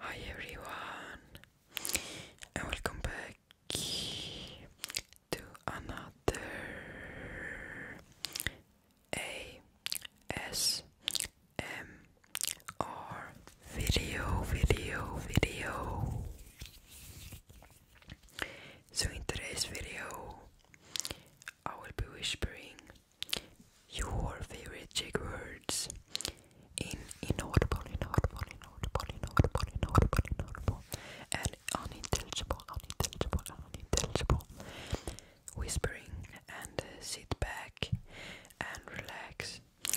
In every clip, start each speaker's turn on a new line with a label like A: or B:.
A: Hi everyone, and welcome back to another ASMR video, video, video. So in today's video, I will be whispering your favorite Czech words in inaudible, inaudible, inaudible, inaudible, inaudible, inaudible, and unintelligible, unintelligible, unintelligible whispering and uh, sit back and relax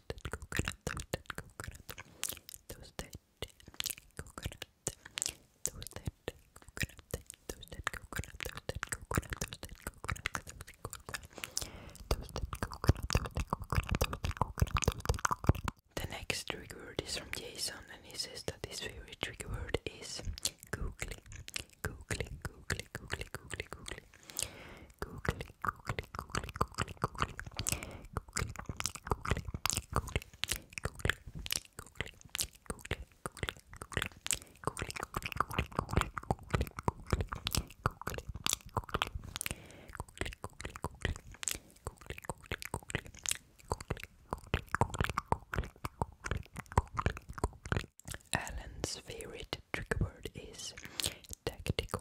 A: The next trigger word is from Jason, and he says that this very trigger word is googly, googly, googly, googly, googly, googly. Alan's favorite trick word is tactical.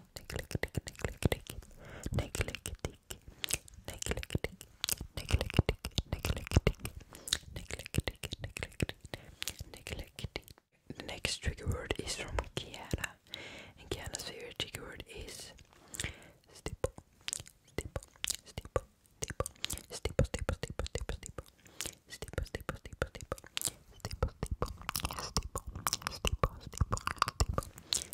A: the next trigger word is from Kiana, and Kiana's trigger word is stipple, stipple, stipple, stipple, stipple, stipple, stipple, stipple, stipple, stipple, stipple, stipple, stipple, stipple, stipple, stipple,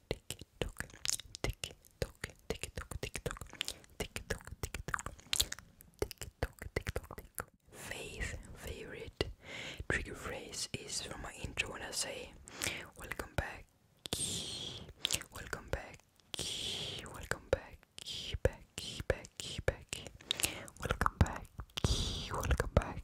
A: TikTok, TikTok, TikTok, TikTok, TikTok, TikTok, TikTok, TikTok, TikTok. Faith favorite trigger phrase is from my intro when I say welcome back, welcome back, welcome back, back, back, back, welcome back, welcome back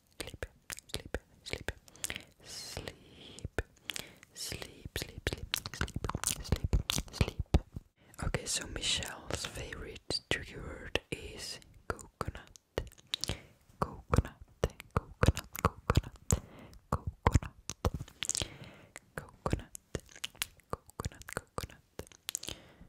A: sleep, sleep, sleep, sleep, sleep, sleep, sleep, sleep, sleep. Okay, so Michelle's favorite tricky word is Coconut, coconut, coconut, coconut, coconut, coconut, coconut, coconut,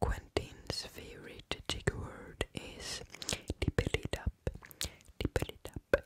A: Quentin's favorite jig word is dip it up, dip it up,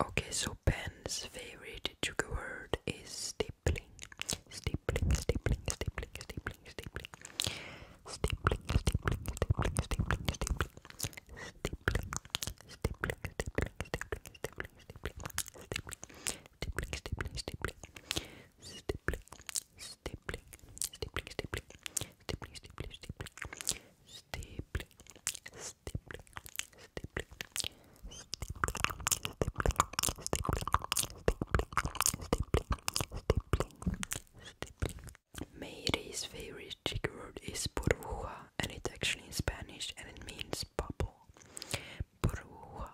A: Okay, so Ben's favorite trigger word is stapling. Stapling, stapling, stapling, stapling, stapling. Stapling, stapling, stapling, stapling, stapling. Stapling, stapling, stapling, stapling, stapling, stapling. Stapling, stapling, stapling. Stapling, stapling, stapling, stapling. Stipple, stipple, stipple. Stipple, stipple, stipple. Stipple, stipple, stipple. Stipple, Mayre's favorite Greek word is burbuja, and it's actually in Spanish and it means bubble. Burbuja,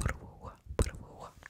A: burbuja, burbuja.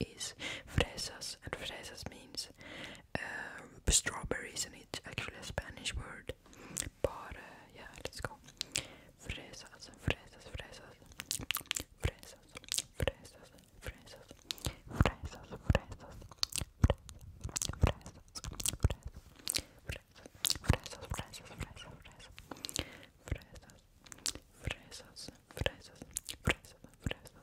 A: is fresas, and fresas means um, strawberries, and it's actually a Spanish word. But uh, yeah, let's go. Fresas, fresas, fresas, fresas, fresas, fresas, fresas, fresas, fresas, fresas, fresas, fresas, fresas. Fresas, fresas, fresas, fresas,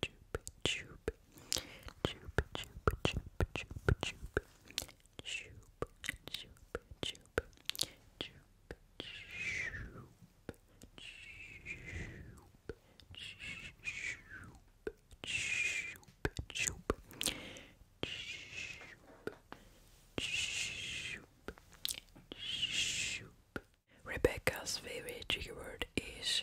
A: Choop, choop, choop, choop, choop, choop, choop, choop, choop, choop, choop, choop, choop, choop, Rebecca's favorite trigger word is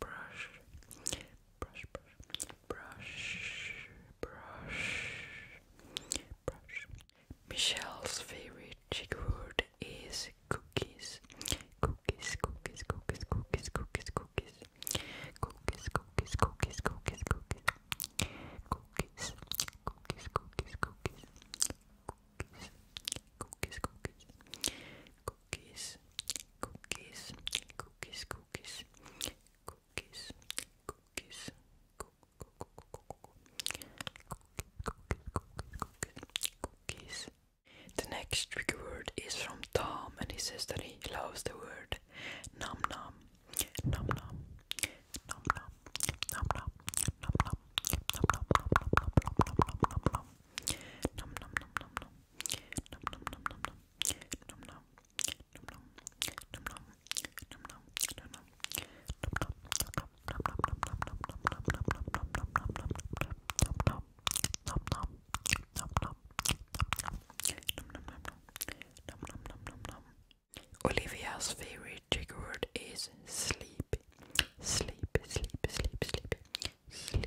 A: brush, brush, brush, brush, brush, brush. Michelle's favorite chick word is cookies. Cookies, cookies, cookies, cookies, cookies, cookies. Cookies, cookies, cookies, cookies, cookies. Cookies, cookies, cookies, cookies. Cookies, cookies, cookies cookies, cookies, cookies, cookies, cookies, cookies, cookies. The next trigger word is from Tom, and he says that he loves the word nom nom, nom nom, nom nom, nom nom, nom nom, nom nom, nom nom, nom nom, nom nom, nom nom, nom nom, nom nom. Olivia's favorite trigger word is sleep. Sleep, sleep, sleep, sleep, sleep,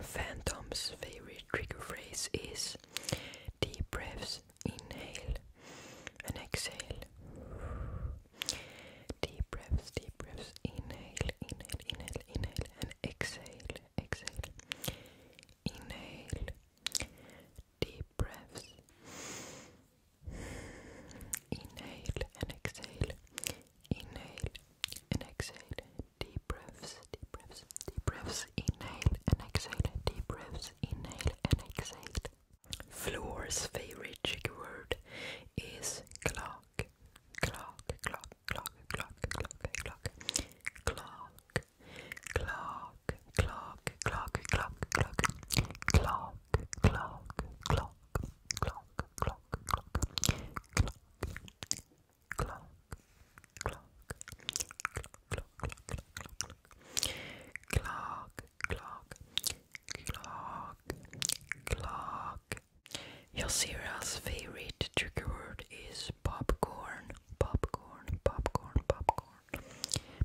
A: Phantom's favorite trigger phrase is deep breaths, inhale and exhale. Deep breaths, deep breaths, inhale, inhale, inhale, inhale, and exhale, exhale. Inhale deep breaths. Inhale and exhale. Inhale and exhale. Deep breaths, deep breaths, deep breaths. Inhale and exhale. Deep breaths. Inhale and exhale. Floor's favorite trigger word is clock. Clock, clock, clock, clock, clock, clock, clock, clock, clock, clock, clock, clock, clock, clock, clock, clock, clock, clock, clock, clock, clock, clock, clock, clock, clock. Yosira's favorite trigger word is popcorn, popcorn, popcorn, popcorn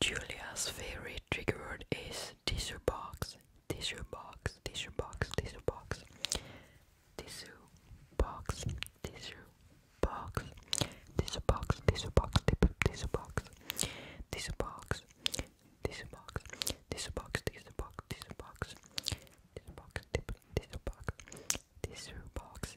A: Julia's favorite trigger word is tissue box, tissue box, tissue box, tissue box, tissue box, tissue box, tissue box, tissue box, tissue box, tissue box, tissue box, tissue box, tissue box, tissue box, tissue box, tissue box, tissue box,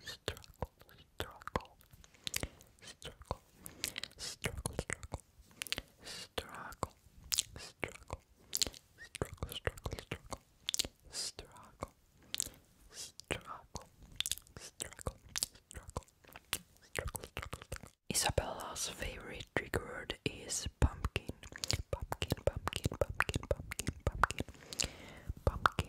A: struggle, struggle, struggle, struggle, struggle, struggle, struggle, struggle, struggle, struggle, struggle, struggle, Isabella's favorite trick word is pumpkin. Pumpkin, pumpkin, pumpkin, pumpkin, pumpkin, pumpkin,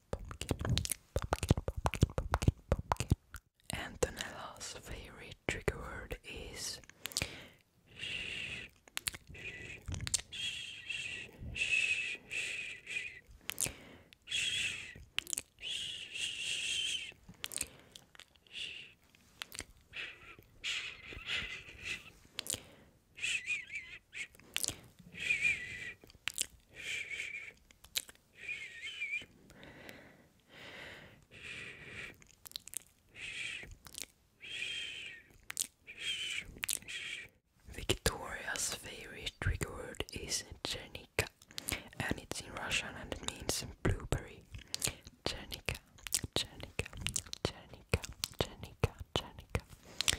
A: pumpkin, pumpkin, pumpkin, pumpkin, Antonella's favorite trigger word is Victoria's favorite trick word is Chernika, and it's in Russian and it means blueberry. Chernika, Chernika, Chernika, Chernika, Chernika.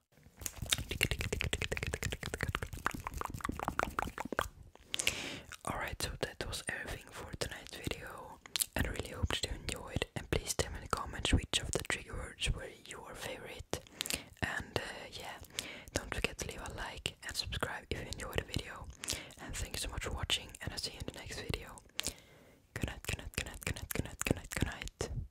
A: Alright, so that was everything for tonight's video. I really hope you enjoyed and please tell me in the comments which of the trigger words were your favorite. And uh, yeah, don't forget to leave a like and subscribe if you enjoyed the video. And thank you so much for watching and I'll see you in the next video. Good night, good night, good night, good